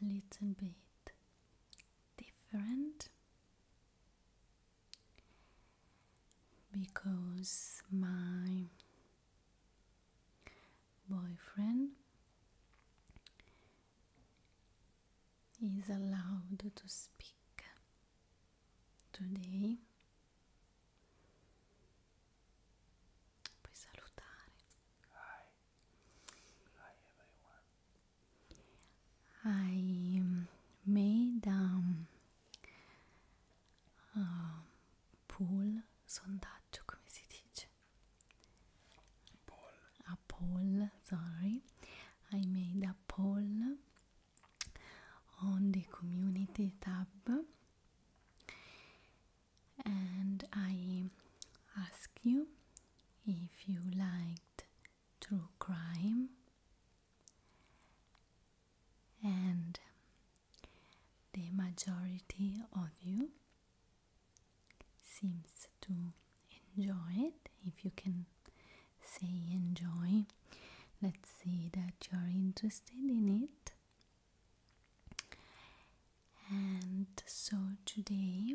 a little bit different because my boyfriend is allowed to speak today puoi salutare Aj, med, da um, pol sondaggio, come si dice? Pol. A pol, sorry. I made a poll on the community tab and I ask you if you liked true crime and the majority of you seems to enjoy it if you can say enjoy let's see that you're interested in it and so today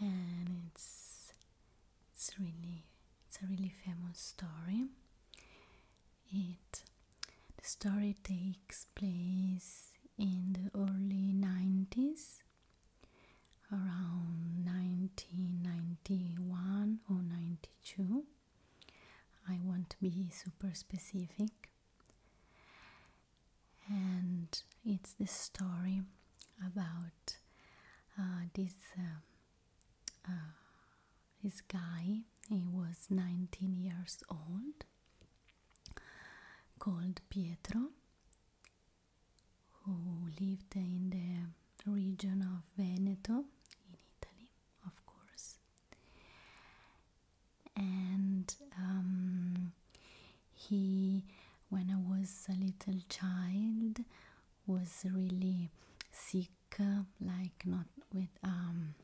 and it's it's really it's a really famous story. It the story takes place in the early 90s around 1991 or 92 i won't be super specific and it's the story about uh, this um, uh, this guy. He was 19 years old, called Pietro, who lived in the region of Veneto in Italy, of course, and um, he when I was a little child was really sick like not with um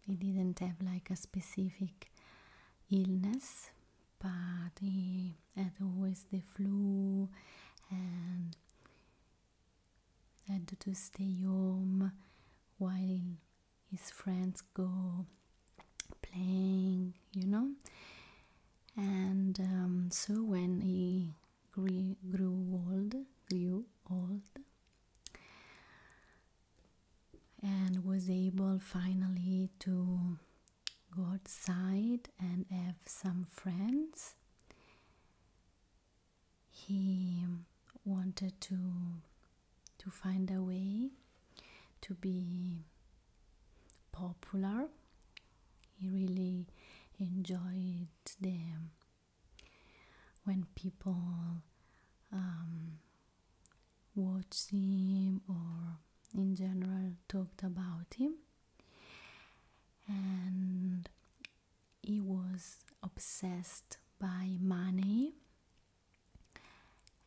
he didn't have like a specific illness but he had always the flu and had to stay home while his friends go playing, you know. And um, so when he grew, grew old, grew old, and was able finally to go outside and have some friends, he wanted to to find a way to be popular. He really enjoyed them. when people um, watched him or in general talked about him and he was obsessed by money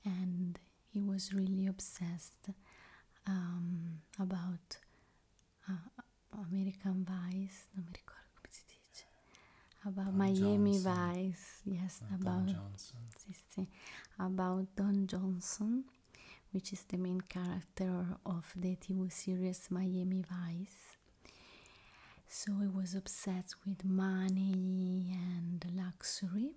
and he was really obsessed um, about uh, American Vice, non mi ricordo come si dice, about Miami Vice, yes, about Don Johnson. about Don Johnson, which is the main character of the TV series Miami Vice. So he was obsessed with money and luxury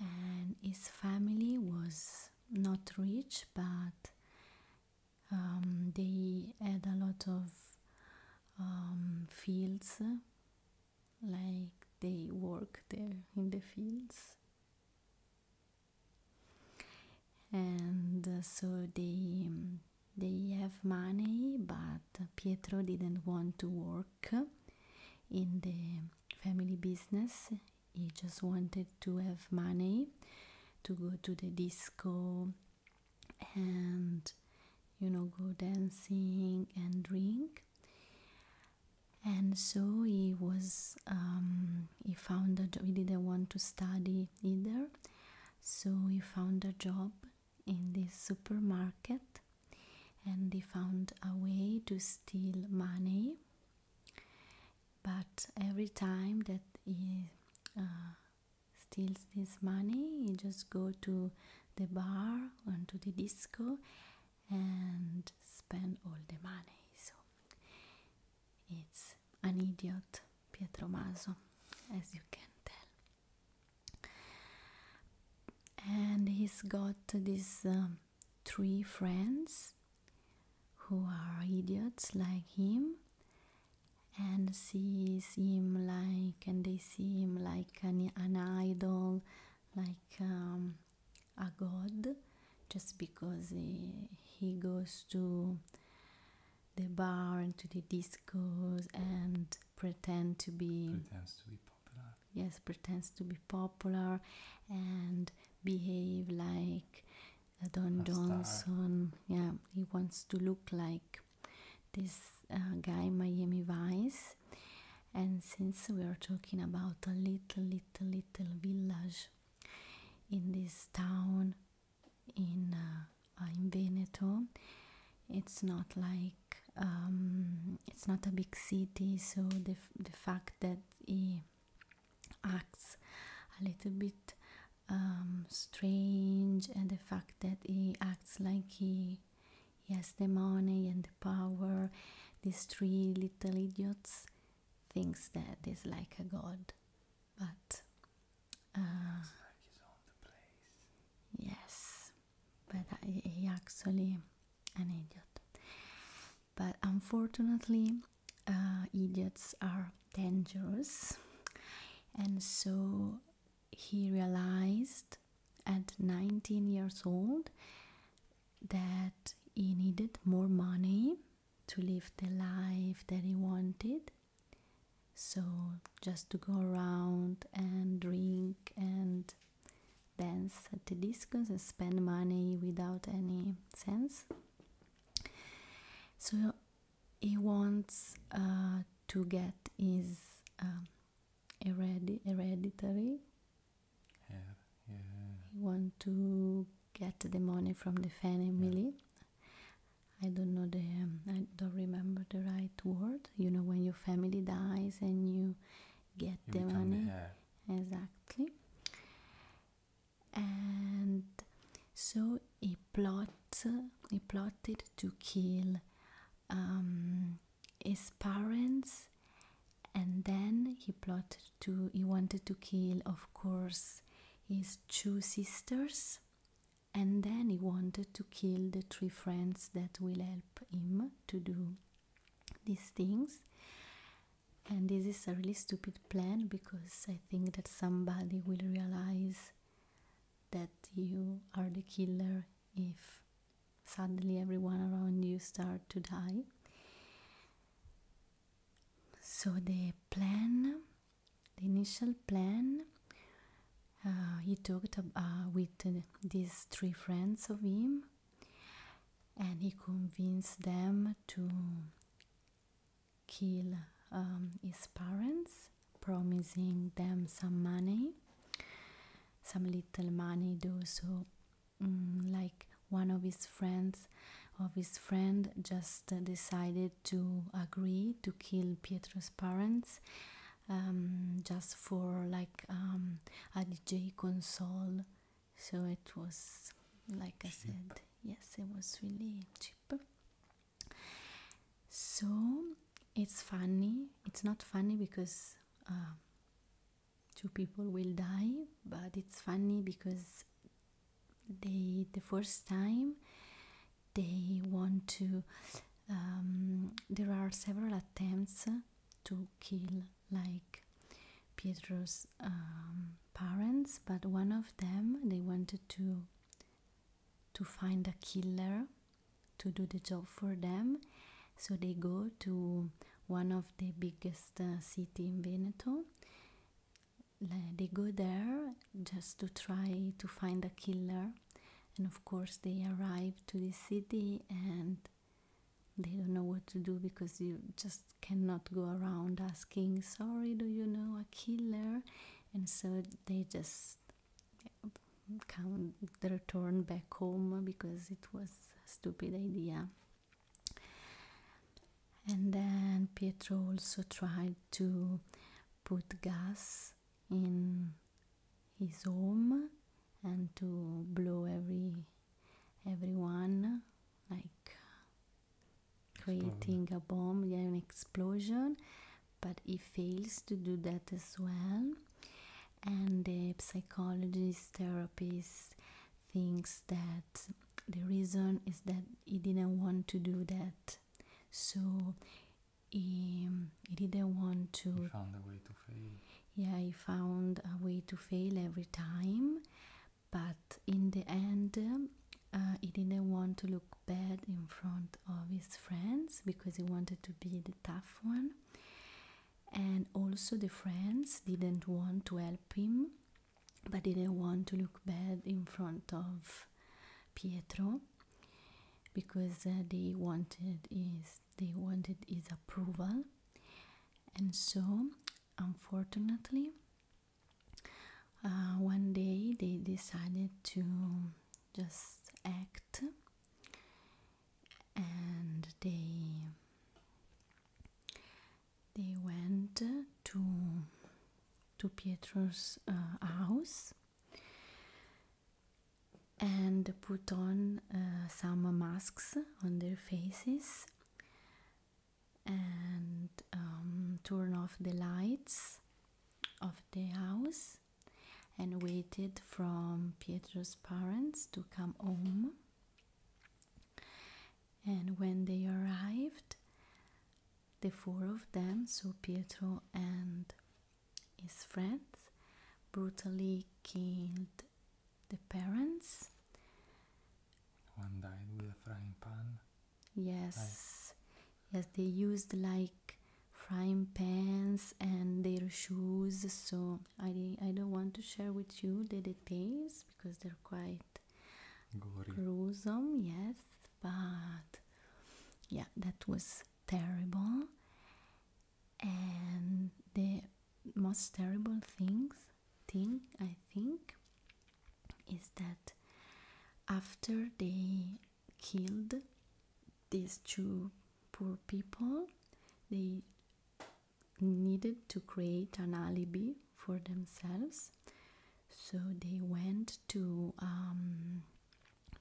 and his family was not rich but um, they had a lot of um, fields like they work there in the fields and uh, so they they have money but pietro didn't want to work in the family business. He just wanted to have money to go to the disco and you know go dancing and drink and so he was um, he found that he didn't want to study either so he found a job in this supermarket and he found a way to steal money but every time that he uh, steals this money he just go to the bar and to the disco and spend all the money so it's an idiot Pietro Maso as you can tell and he's got these um, three friends who are idiots like him and sees him like and they see him like an, an idol like um, a god just because he, eh, he goes to the bar and to the discos and pretend to be to be popular yes pretends to be popular and behave like don A johnson star. yeah he wants to look like this uh, guy miami vice and since we are talking about a little little little village in this town in uh, in veneto it's not like um, it's not a big city, so the the fact that he acts a little bit um, strange, and the fact that he acts like he has the money and the power, these three little idiots thinks that he's like a god, but. Uh, yes, but he actually an idiot but unfortunately uh, idiots are dangerous and so he realized at 19 years old that he needed more money to live the life that he wanted so just to go around and drink and dance at the disco and spend money without any sense. So he wants uh, to get his um, heredi hereditary. Yeah, yeah. He wants to get the money from the family. I don't know the um, I don't remember the right word. You know when your family dies and you get the money exactly and so he plotted. he plotted to kill um, his parents and then he plotted to he wanted to kill of course his two sisters and then he wanted to kill the three friends that will help him to do these things and this is a really stupid plan because i think that somebody will realize that you are the killer if suddenly everyone around you start to die so the plan the initial plan uh, he talked uh, with uh, these three friends of him and he convinced them to kill um, his parents, promising them some money, some little money. Though, so mm, like one of his friends, of his friend, just decided to agree to kill Pietro's parents. Um, just for like um, a DJ console so it was like i said yes it was really cheaper. so it's funny it's not funny because uh, two people will die but it's funny because they the first time they want to um, there are several attempts to kill like Pietro's um, parents, but one of them they wanted to to find a killer to do the job for them, so they go to one of the biggest uh, city in Veneto. They go there just to try to find a killer, and of course they arrive to the city and they don't know what to do because you just cannot go around asking sorry do you know a killer and so they just come the return back home because it was a stupid idea and then pietro also tried to put gas in his home and to blow every everyone like creating a bomb yeah, an explosion but he fails to do that as well and the psychologist therapist thinks that the reason is that he didn't want to do that so he, he didn't want to he a way to fail yeah he found a way to fail every time but in the end uh, he didn't want to look bad in front of his friends because he wanted to be the tough one and also the friends didn't want to help him but didn't want to look bad in front of Pietro because uh, they wanted his they wanted his approval and so unfortunately uh, one day they decided to just act and they they went to to Pietro's uh, house and put on uh, some masks on their faces and um, turn off the lights of the house and waited from Pietro's parents to come home. And when they arrived, the four of them, so Pietro and his friends, brutally killed the parents. One died with a frying pan. Yes, yes, they used like frying pans and their shoes. So I I don't want to share with you the details because they're quite gruesome. Yes, but yeah, that was terrible. And the most terrible things thing I think is that after they killed these two poor people they needed to create an alibi for themselves so they went to um,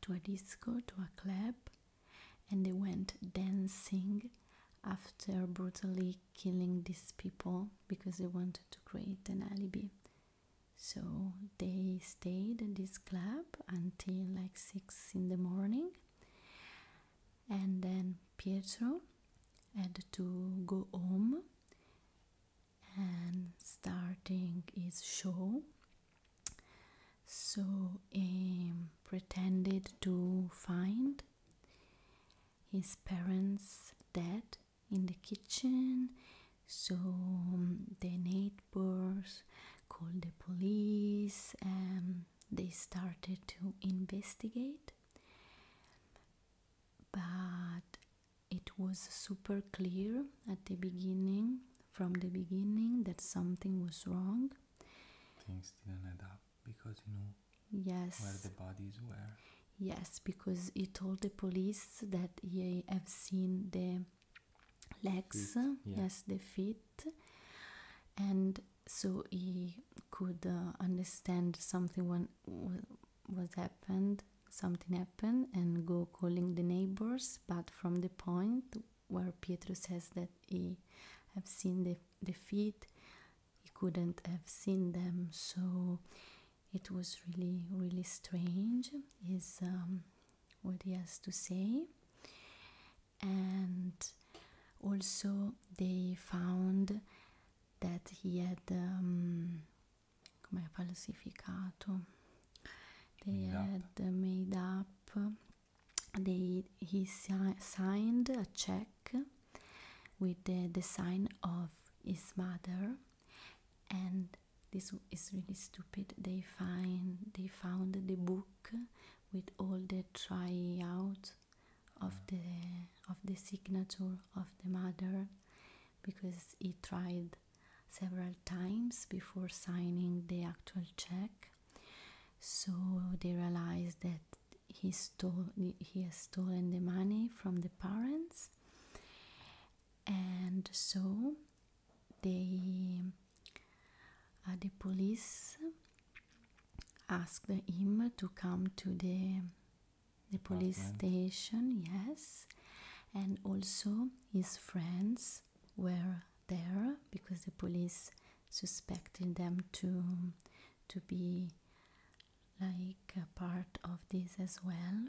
to a disco to a club and they went dancing after brutally killing these people because they wanted to create an alibi. So they stayed in this club until like 6 in the morning, and then Pietro had to go home and starting his show. So he pretended to find his parents dead in the kitchen so um, the neighbors called the police and um, they started to investigate but it was super clear at the beginning from the beginning that something was wrong things didn't add up because you know Yes. Where the bodies were. Yes, because he told the police that he have seen the legs, yes, the feet, and so he could uh, understand something when was happened, something happened, and go calling the neighbors. But from the point where Pietro says that he have seen the the feet he couldn't have seen them so it was really really strange is um, what he has to say and also they found that he had um, come falsificato they had uh, made up they he signed a check with the design of his mother and this is really stupid they find they found the book with all the out of the of the signature of the mother because he tried several times before signing the actual check so they realized that he stole he has stolen the money from the parents and so they uh, the police asked him to come to the the police station yes and also his friends were there because the police suspected them to to be like a part of this as well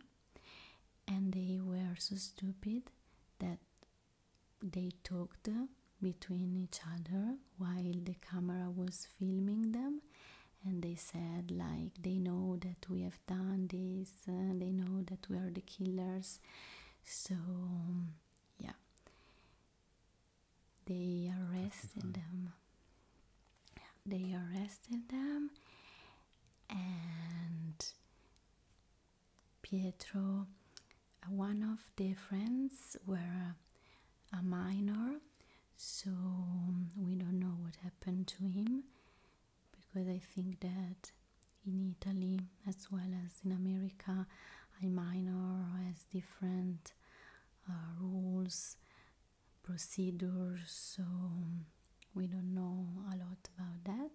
and they were so stupid that they talked between each other while the camera was filming them and they said like they know that we have done this uh, they know that we are the killers so yeah they arrested them. They arrested them, and Pietro, one of their friends, were a minor, so we don't know what happened to him because I think that in Italy as well as in America, a minor has different uh, rules procedures, so we don't know a lot about that.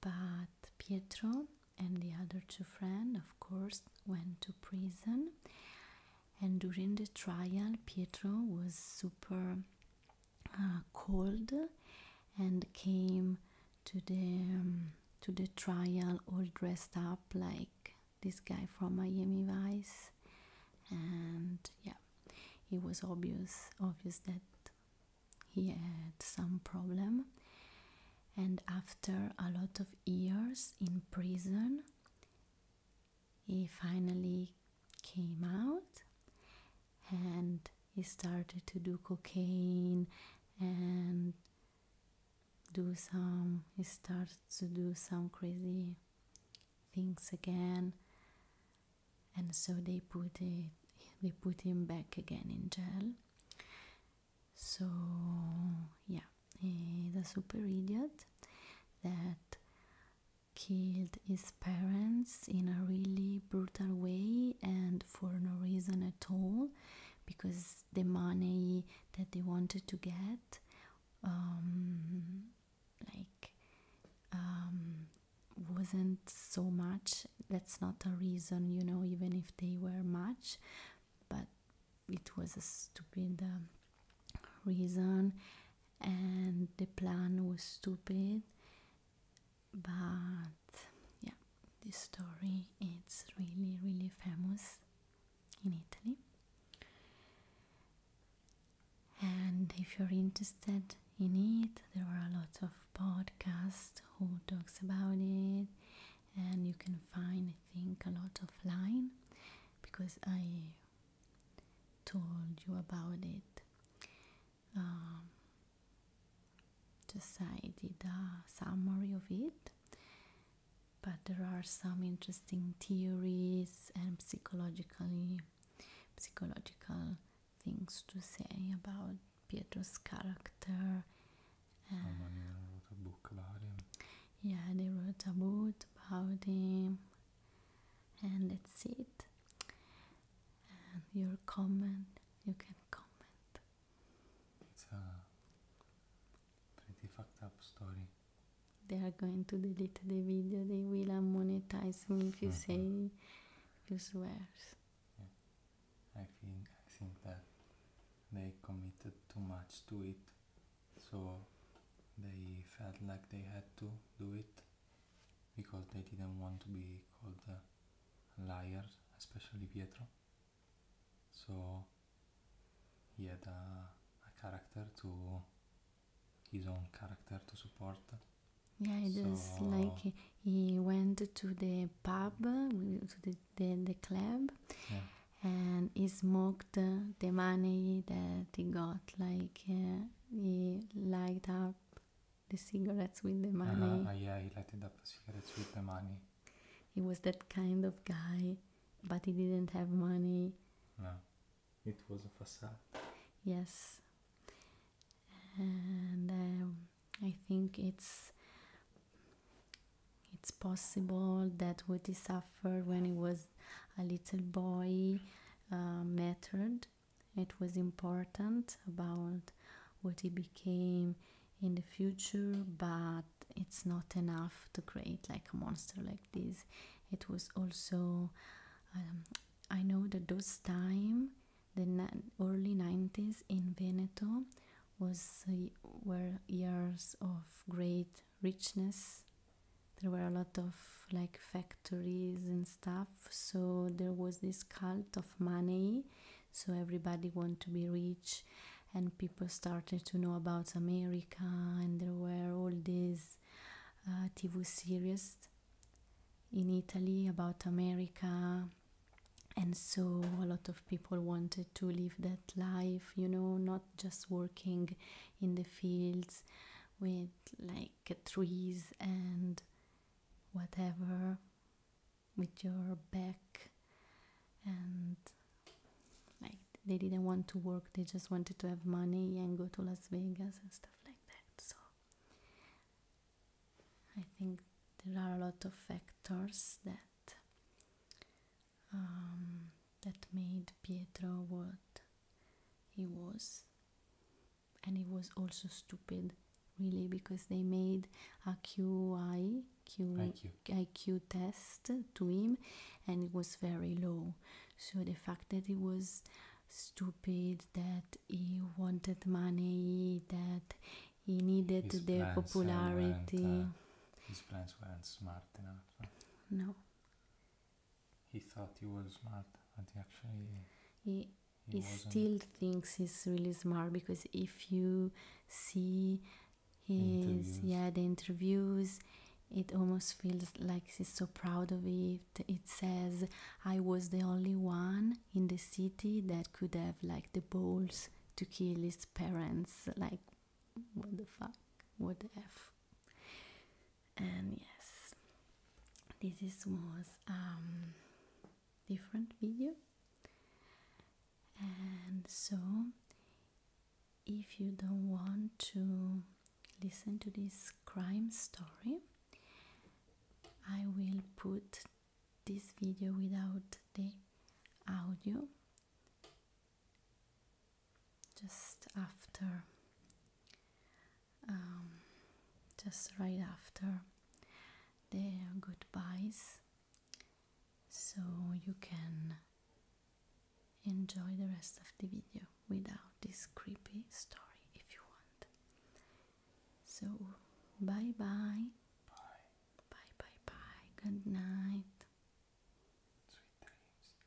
But Pietro and the other two friends, of course, went to prison. And during the trial, Pietro was super uh, cold and came to the to the trial all dressed up like this guy from Miami Vice, and yeah, it was obvious obvious that he had some problem. And after a lot of years in prison, he finally came out and he started to do cocaine and do some he started to do some crazy things again and so they put it they put him back again in jail so yeah the super idiot that killed his parents in a really brutal way and for no reason at all because the money that they wanted to get um, like um, wasn't so much. That's not a reason, you know, even if they were much, but it was a stupid um, reason, and the plan was stupid. But yeah, this story it's really really famous in Italy. And if you're interested in it, there are a lot of podcasts who talks about it, and you can find, I think, a lot of line, because I told you about it. Um, just I did a summary of it but there are some interesting theories and psychologically psychological things to say about Pietro's character. Yeah, they wrote about him. And that's it. your comment, you can comment. Pretty fucked up story. They are going to delete the video. They will monetize me if you mm-hmm. say you swears. Yeah. I think I think that they committed too much to it, so they felt like they had to do it because they didn't want to be called liars, especially Pietro. So he had a, a character to his own character to support. Yeah, it so like he, went to the pub, to the, the, club, and he smoked the money that he got. Like uh, he light up the cigarettes with the ah, money. Uh, yeah, he lighted up the cigarettes with the money. He was that kind of guy, but he didn't have money. No. It was a facade. Yes. And um, I think it's it's possible that what he suffered when he was a little boy uh, mattered. It was important about what he became in the future, but it's not enough to create like a monster like this it was also um, i know that those time the early 90s in veneto was uh, were years of great richness there were a lot of like factories and stuff so there was this cult of money so everybody wanted to be rich and people started to know about america and there were all these TV uh, series in Italy about America, and so a lot of people wanted to live that life, you know, not just working in the fields with like trees and whatever with your back and like they didn't want to work they just wanted to have money and go to las vegas and stuff like that so i think there are a lot of factors that um, that made pietro what he was and he was also stupid really because they made a qi q IQ test to him and it was very low so the fact that he was stupid that he wanted money that he needed the uh, popularity uh, his plans weren't smart enough no he thought he was smart but he actually he, he, still thinks he's really smart because if you see his yeah the interviews it almost feels like she's so proud of it. It says, I was the only one in the city that could have like the balls to kill his parents. Like, what the fuck? What the F? And yes, this is, was um different video. And so, if you don't want to listen to this crime story. I will put this video without the audio just after, um, just right after the goodbyes, so you can enjoy the rest of the video without this creepy story if you want. So, bye bye. Bye. Bye bye Good night. Sweet dreams.